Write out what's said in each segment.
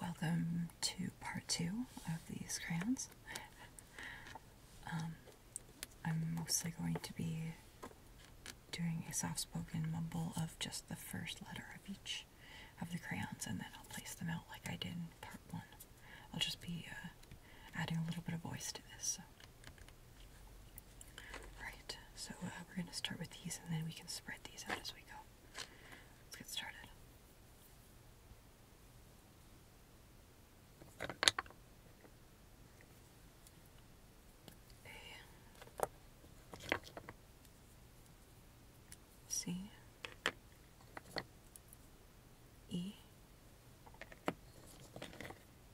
Welcome to part two of these crayons. Um, I'm mostly going to be doing a soft spoken mumble of just the first letter of each of the crayons and then I'll place them out like I did in part one. I'll just be uh, adding a little bit of voice to this, Right, so uh, we're going to start with these and then we can spread these out as we go. Let's get started. A C E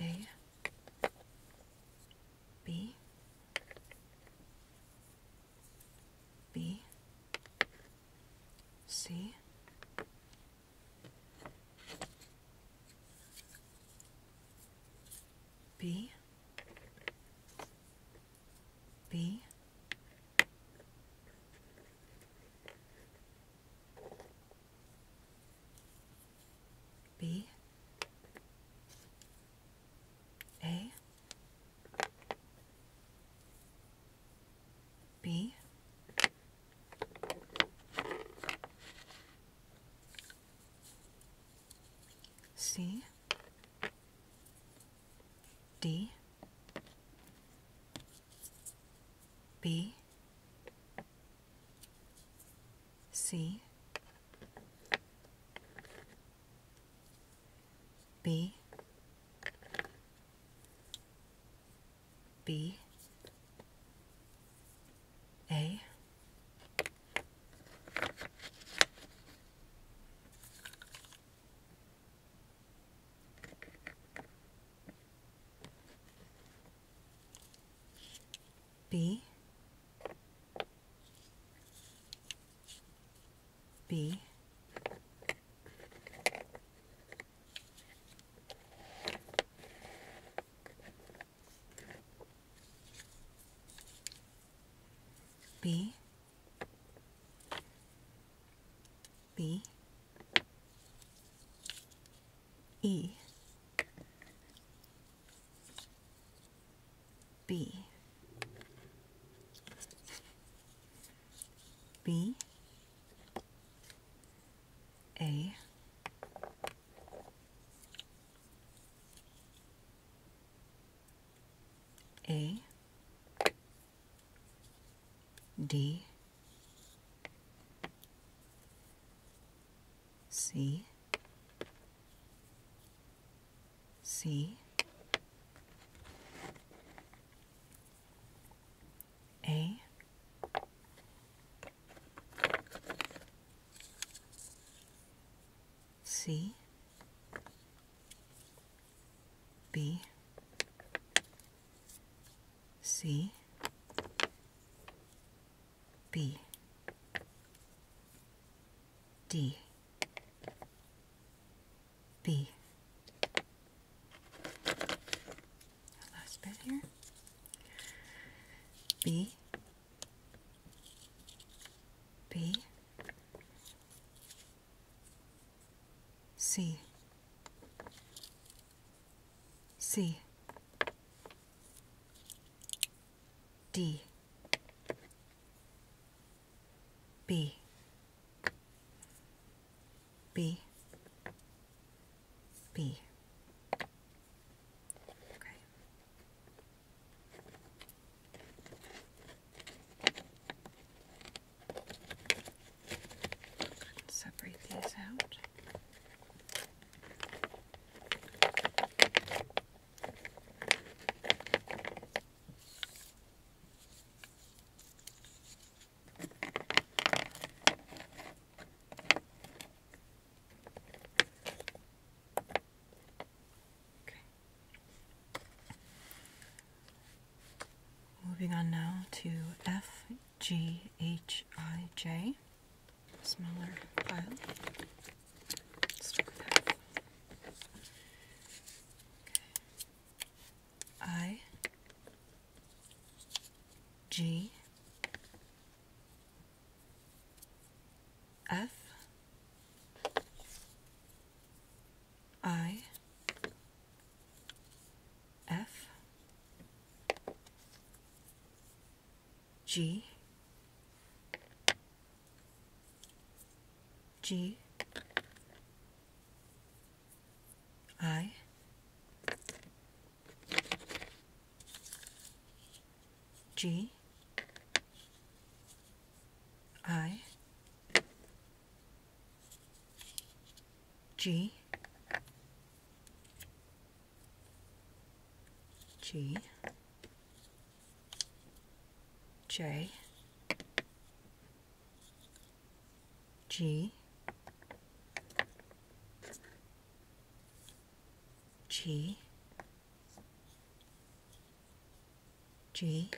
A B B C B B B A B C D B C B B A B B B B E B B A A D C C A C B C, B, D, B, B, B. C. C. D. B. B. B. Okay. And separate these out. Okay. Moving on now to F G H I J, smaller file. Start I G F I F G G I G I G, G, J, G, G, G,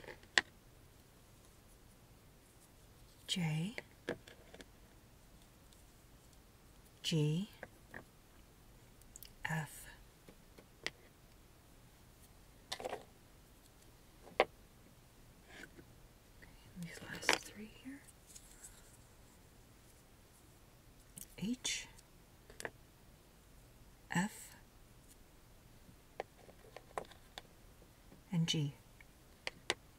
J G F these last three here H F and G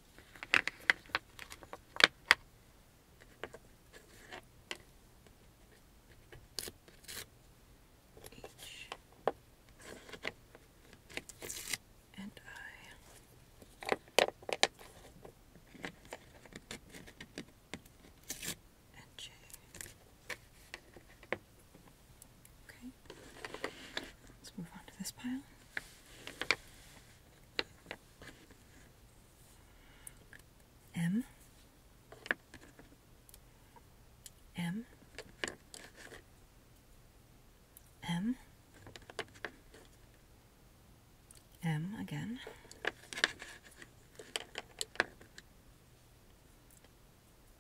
H and I and J. Okay, let's move on to this pile. M M M M again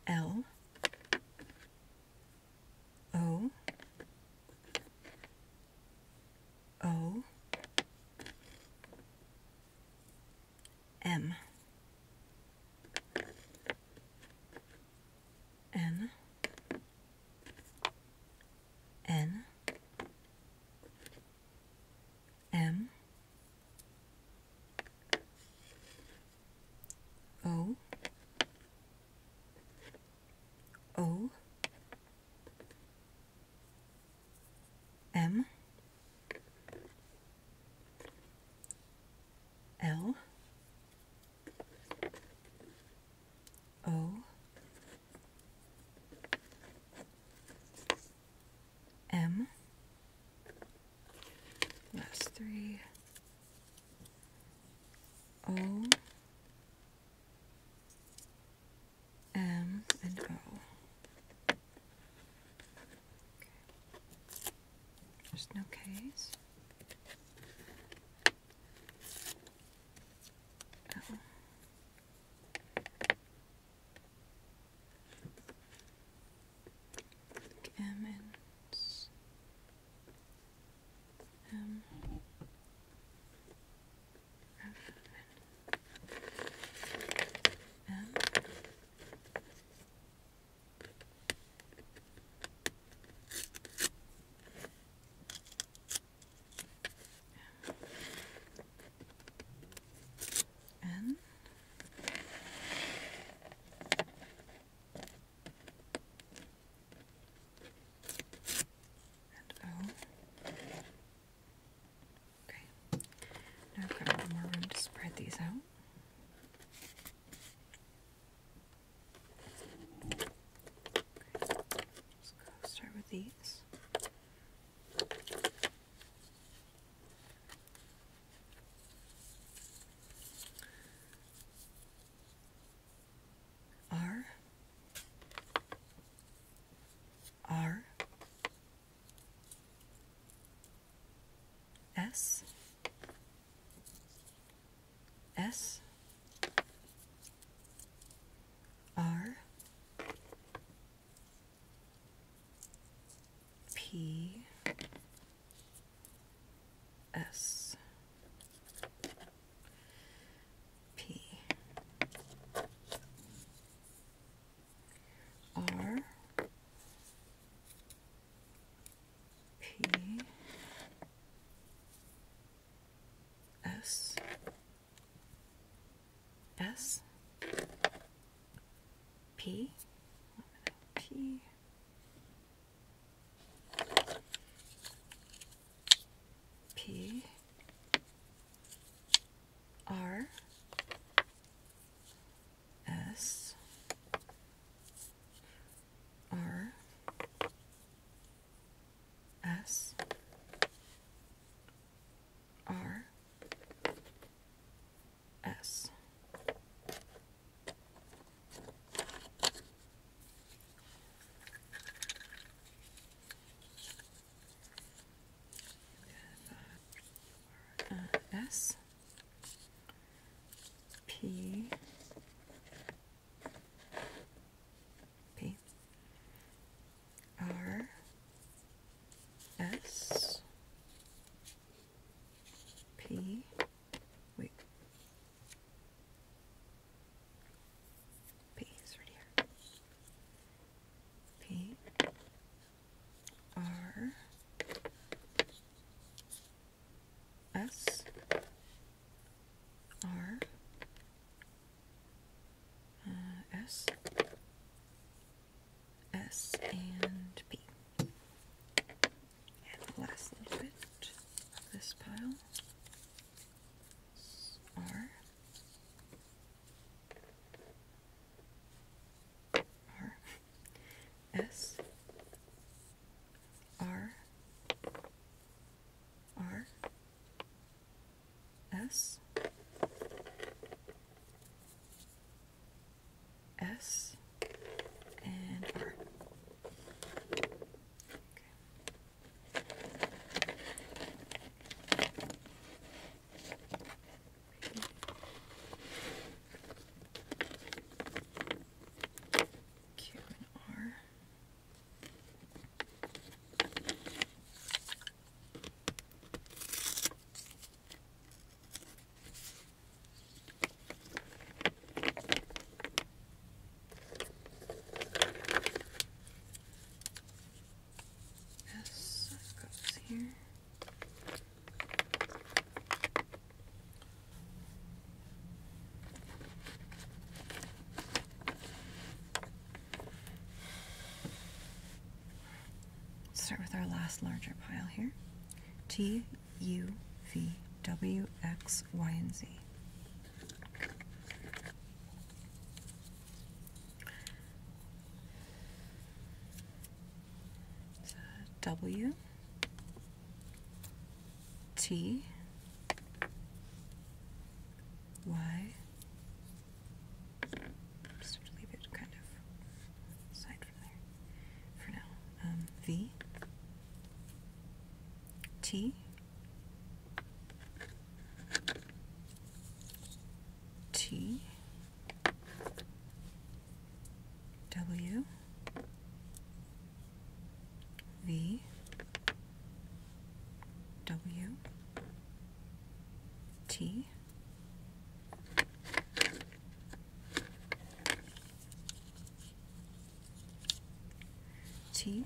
L O O M N N M O O M L O M last three O M and O. Okay. There's no K's. Oh. M and um, um, N N Okay, now I've got more room to spread these out. Okay. Just go start with these. R R S S R P S P R P S S P P P R S R S R S have, S P P R S P wait P uh, and P. And the last little bit of this pile R R S R R S S and R. Okay. Q and R. This goes here. Let's start with our last larger pile here. T U V W X Y and Z. It's Just leave it kind of aside from there for now. Um, v T T W V W T T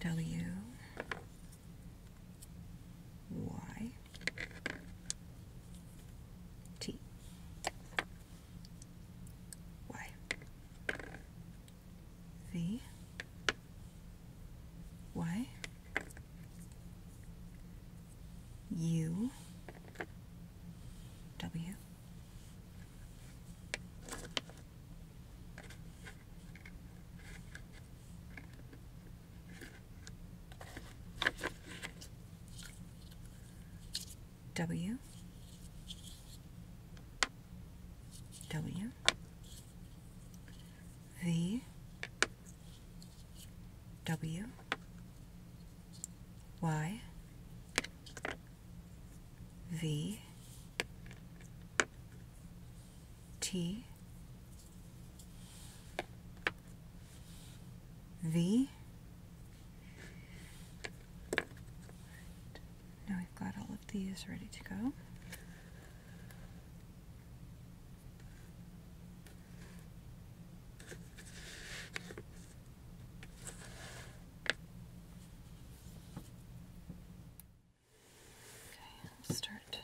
W Y T Y V Y U W W W V W Y V T V Now we've got all of these ready to go. Okay, i am start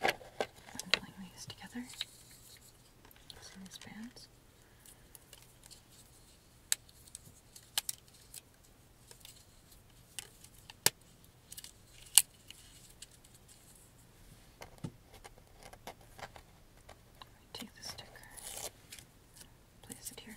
bundling these together. So these bands. take the sticker, place it here.